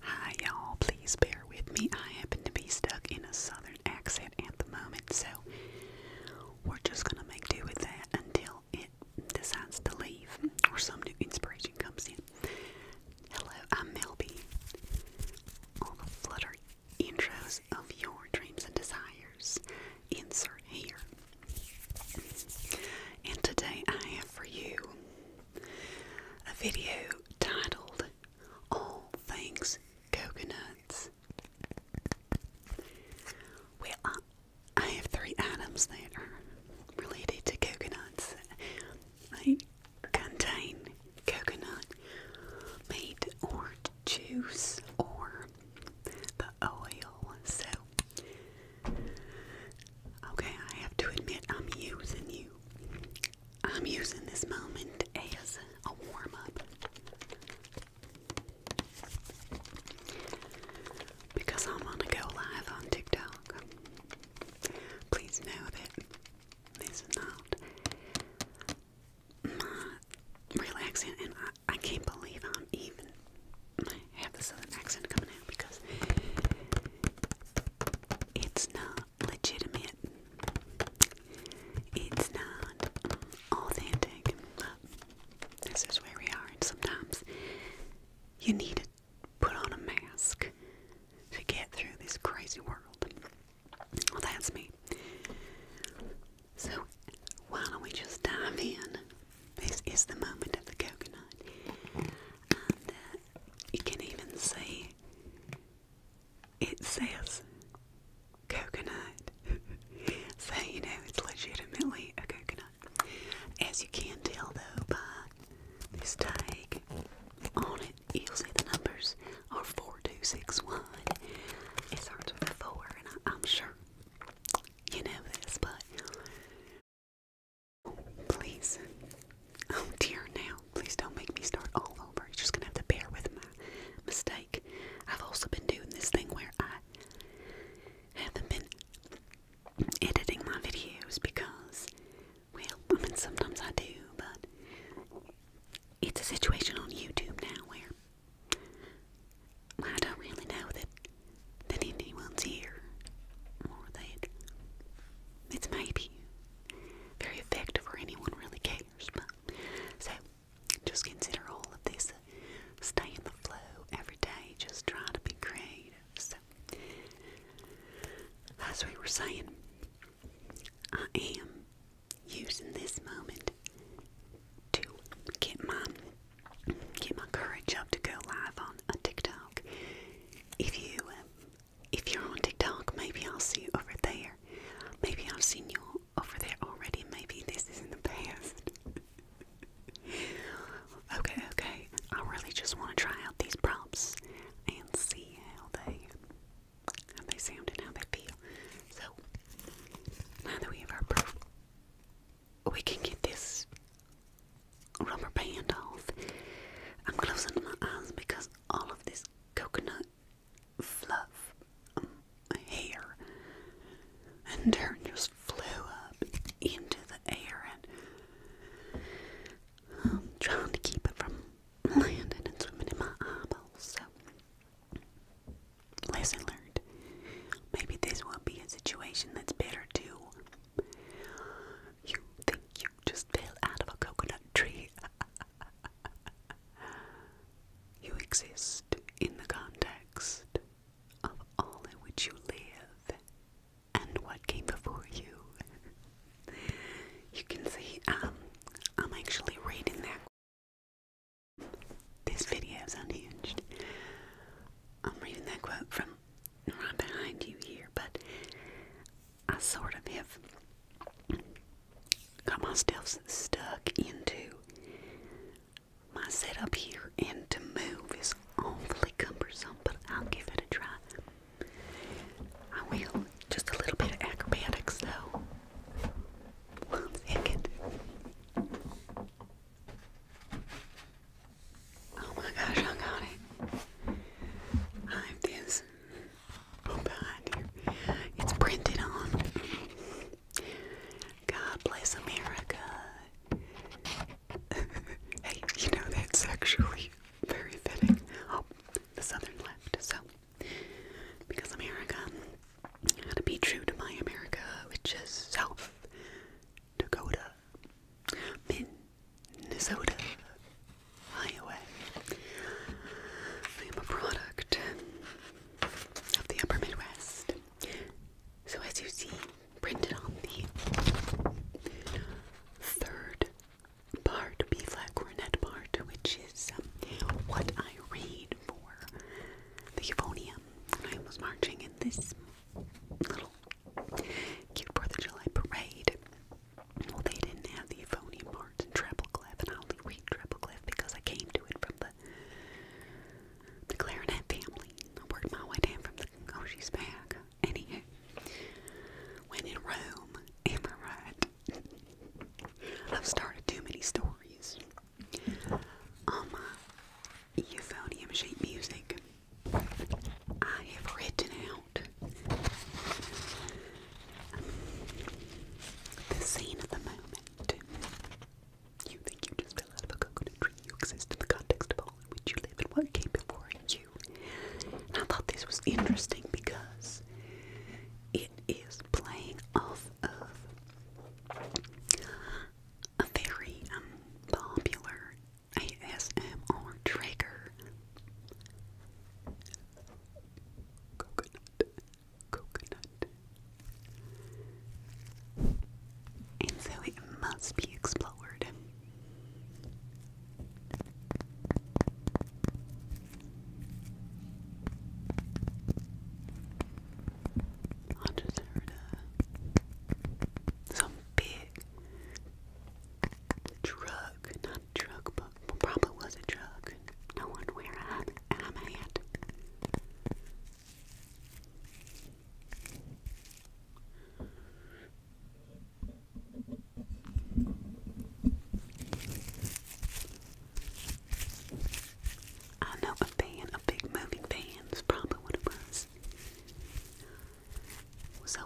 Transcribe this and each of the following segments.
Hi, y'all. Please bear with me. I happen to be stuck in a southern accent at the moment, so we're just gonna make do with that until it decides to leave or some new inspiration comes in. Hello, I'm Melby. All the flutter intros of your dreams and desires. Insert here. And today I have for you a video titled All Things Coconuts, where well, I have three items that are related to coconuts. They contain coconut meat or juice or the oil. So Okay, I have to admit, I'm using you. I'm using this moment as a warm up. Because I'm gonna go live on TikTok. Please know that this is not my relaxing, and I, can't believe I'm even. I have this southern accent coming out because it's not legitimate. It's not authentic. this is where we are, and sometimes you need to put on a mask to get through this crazy world. Well, that's me. So, why don't we just dive in? This is the moment of the coconut. Uh, you can even see it says coconut. so, you know, it's legitimately a coconut. As you can tell though by this tag on it, you'll see the numbers are 4261. It starts with a 4, and I, I'm sure you know this, but Please. Oh dear now. Please don't make me start all over. You're just gonna have to bear with my mistake. I've also been doing this thing where I haven't been editing my videos because well, I mean sometimes I do, but it's a situation on YouTube now where I don't really know that that anyone's here, or that it's maybe very effective or anyone really cares. But so just consider all of this. Stay in the flow every day. Just try to be creative. So as we were saying, I am using this moment to get my get my courage up to go live on a uh, TikTok. If you, um, if you're on TikTok, maybe I'll see you over there. Maybe I've seen you over there already. Maybe this is in the past. okay, okay. I really just want to try out these props and see how they how they sound and how they feel. So now that we have our proof we can get this rubber band off. I'm closing my eyes because all of this coconut fluff um, hair and dirt just flew up into the air and I'm um, trying to keep it from landing and swimming in my eyeballs. So, lesson learned. Maybe this will be a situation that's better to you think you just fell out of a coconut tree? you exist in the context of all in which you live and what came before you. you can see um, I'm actually reading that. This video is unhinged. I'm reading that quote from right behind you here, but I sort of have got myself stuck into my setup here, and to move is awfully cumbersome, but I'll give it a try. I will. Just a little bit of acrobatics, though. One second. Oh my gosh, I got it. I have this I'm oh, behind you. It's printed on. God bless America. hey, you know that's actually very fitting. Oh, the southern left. So, because America, I gotta be true to my America, which is South Dakota, Minnesota Highway. I am a product of the upper Midwest. So, as you see, printed on the third part, B flat cornet part, which is um, what I read for the euphonium. I was marching in this little cute 4th of July parade. Well, they didn't have the euphonium parts in Trebleclef, and I only read Trebleclef because I came to it from the the clarinet family. I worked my way down from the oh, she's back. Anywho, when in Rome, am I right? I've started too many stories. Um, euphonium sheet music. I have written out the scene of the moment. You think you just fell out of a coconut tree. You exist in the context of all in which you live and what came before you. I thought this was interesting because it is playing off of a very um, popular ASMR trigger. Coconut, coconut. And so it must be explored. I just heard uh, some big truck, not a truck, but probably was a truck. No one where I'm at. I know a van, a big moving van That's probably what it was. So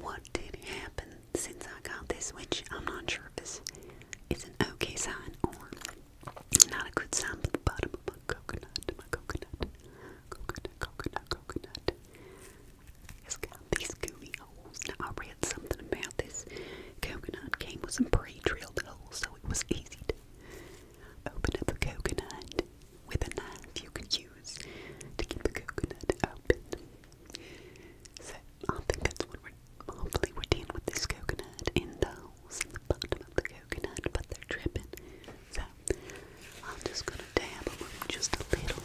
what did happen since I got this, which I'm not sure if it's, an okay sign or not a good sign, the bottom of my coconut, my coconut, coconut, coconut, coconut. It's got these gooey holes. Now I read something about this coconut came with some pre-drilled holes, so it was easy Open up a coconut with a knife you could use to keep the coconut open. So I think that's what we're hopefully we're dealing with this coconut in the in the bottom of the coconut, but they're dripping. So I'm just gonna dab just a little.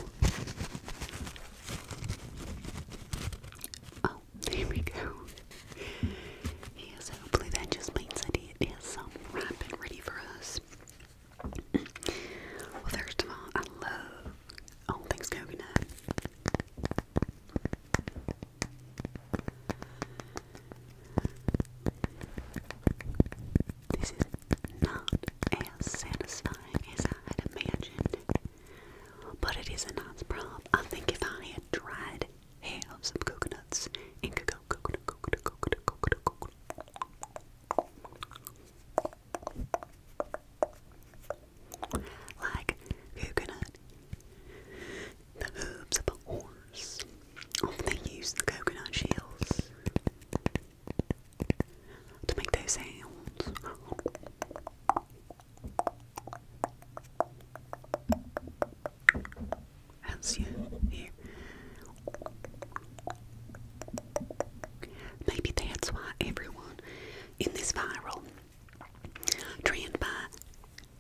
Oh, there we go. Yeah, hopefully that just means that it is um, ripe ready for us. well, first of all, I love all things coconut. This is not as satisfying as I had imagined, but it is a nice problem. I think if I had tried have some coconuts Like coconut, the hooves of a horse. Often they use coconut shells to make those sounds. That's you here. Maybe that's why everyone in this viral trend by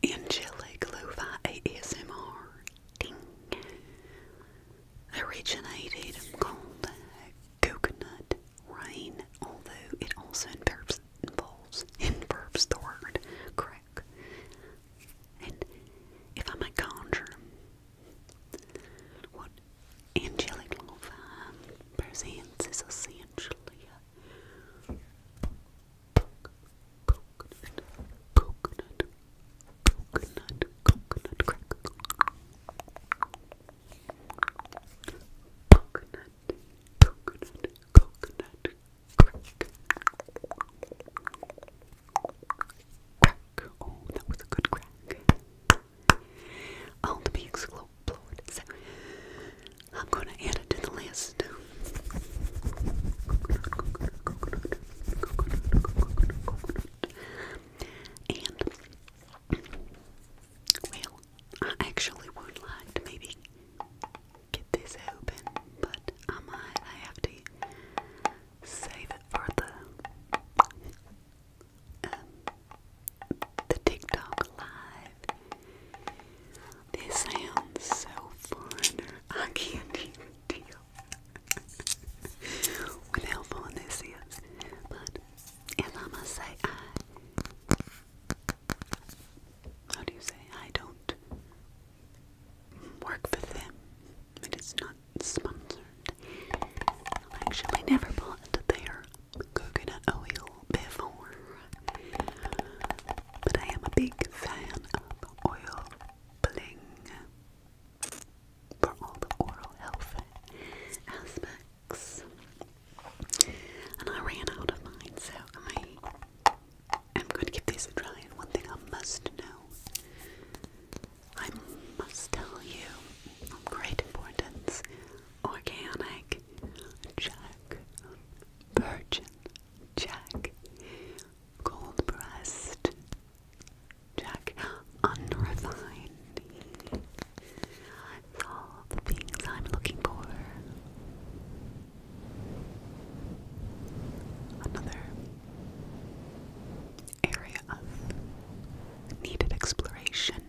Angelic Lo-Fi ASMR ding, originated called Coconut Rain, although it also involves, involves the word and if I may conjure what angelic love presents is essentially a coconut, coconut, coconut, coconut crackle. Coconut, coconut, coconut, Crack. Oh, that was a good crack. All the big exploded. So I'm gonna add it to the list. And well, I actually would like maybe get this open, but I might I have to save it for the um, the TikTok live. This sounds so fun. I can't even deal with how fun this is. But as I must say, I how do you say, I don't work for them. It is not sponsored. I actually never bought their coconut oil before. But I am a big fan of oil bling for all the oral health aspects. And I ran out of mine, so I I'm going to give these a try, and one thing I must know I must tell you of great importance organic, Jack, virgin, Jack, gold breast, Jack, unrefined. It's all the things I'm looking for. Another area of needed exploration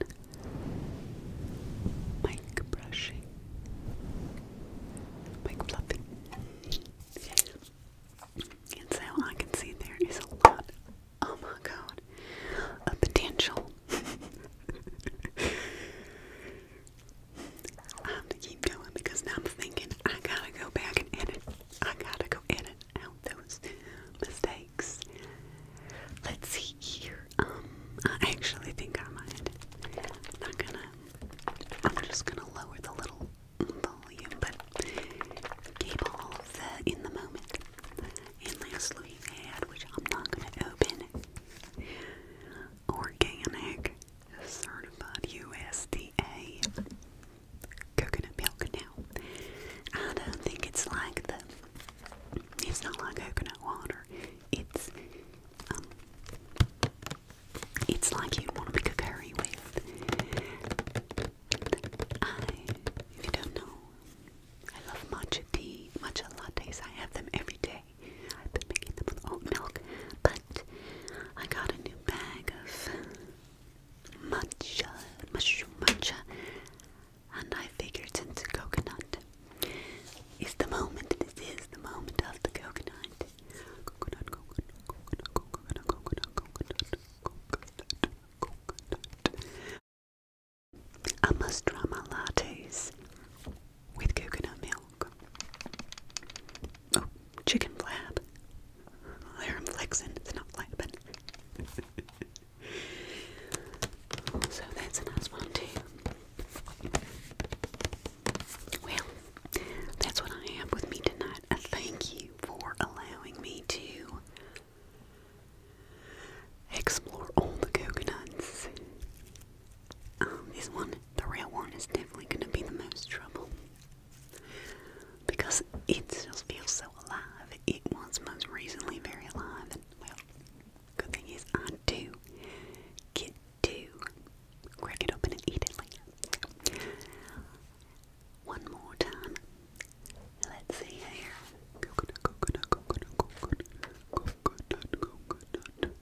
mic brushing, mic fluffing. And so I can see there is a lot, oh my god, of potential. I am going to keep going because now I'm thinking I gotta go back and edit. I gotta go edit out those mistakes. Let's see here. Um, I actually think I might. I'm not gonna. I'm just gonna lower the little volume, but keep all of the in the moment. And lastly, ad, which I'm not gonna open organic, certified USDA coconut milk now. I don't think it's like the. It's not like coconut water. It's um. It's like you'd want to be a with. I, if you don't know, I love matcha tea, matcha lattes. I have them every day. I've been making them with oat milk, but I got a new bag of matcha, mushroom matcha, and I figured since coconut is the moment, this is the moment of the coconut. Coconut, coconut, coconut, coconut, coconut, coconut, coconut, coconut. I must draw my lattes with coconut milk. Oh, chicken flap. There I'm flexing. It's not flapping. so that's a nice one too. Well, that's what I have with me tonight. thank you for allowing me to explore all the coconuts um, this one, the real one, is definitely gonna be the most trouble because it just feels so alive. It was most recently very alive, and well, good thing is I do get to crack it open and eat it One more time. Let's see here. Coconut, coconut, coconut, coconut, coconut, coconut.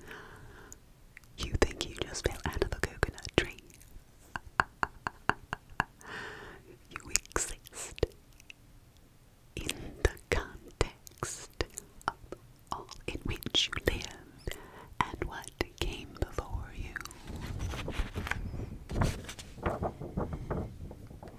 You think you just fell out of a coconut tree? You exist in the context of all in which you live and what came before you.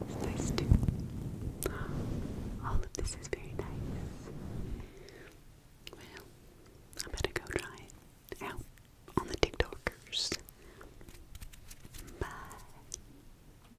It's nice too. All of this is very nice. Well, I better go try it out on the TikTokers. Bye.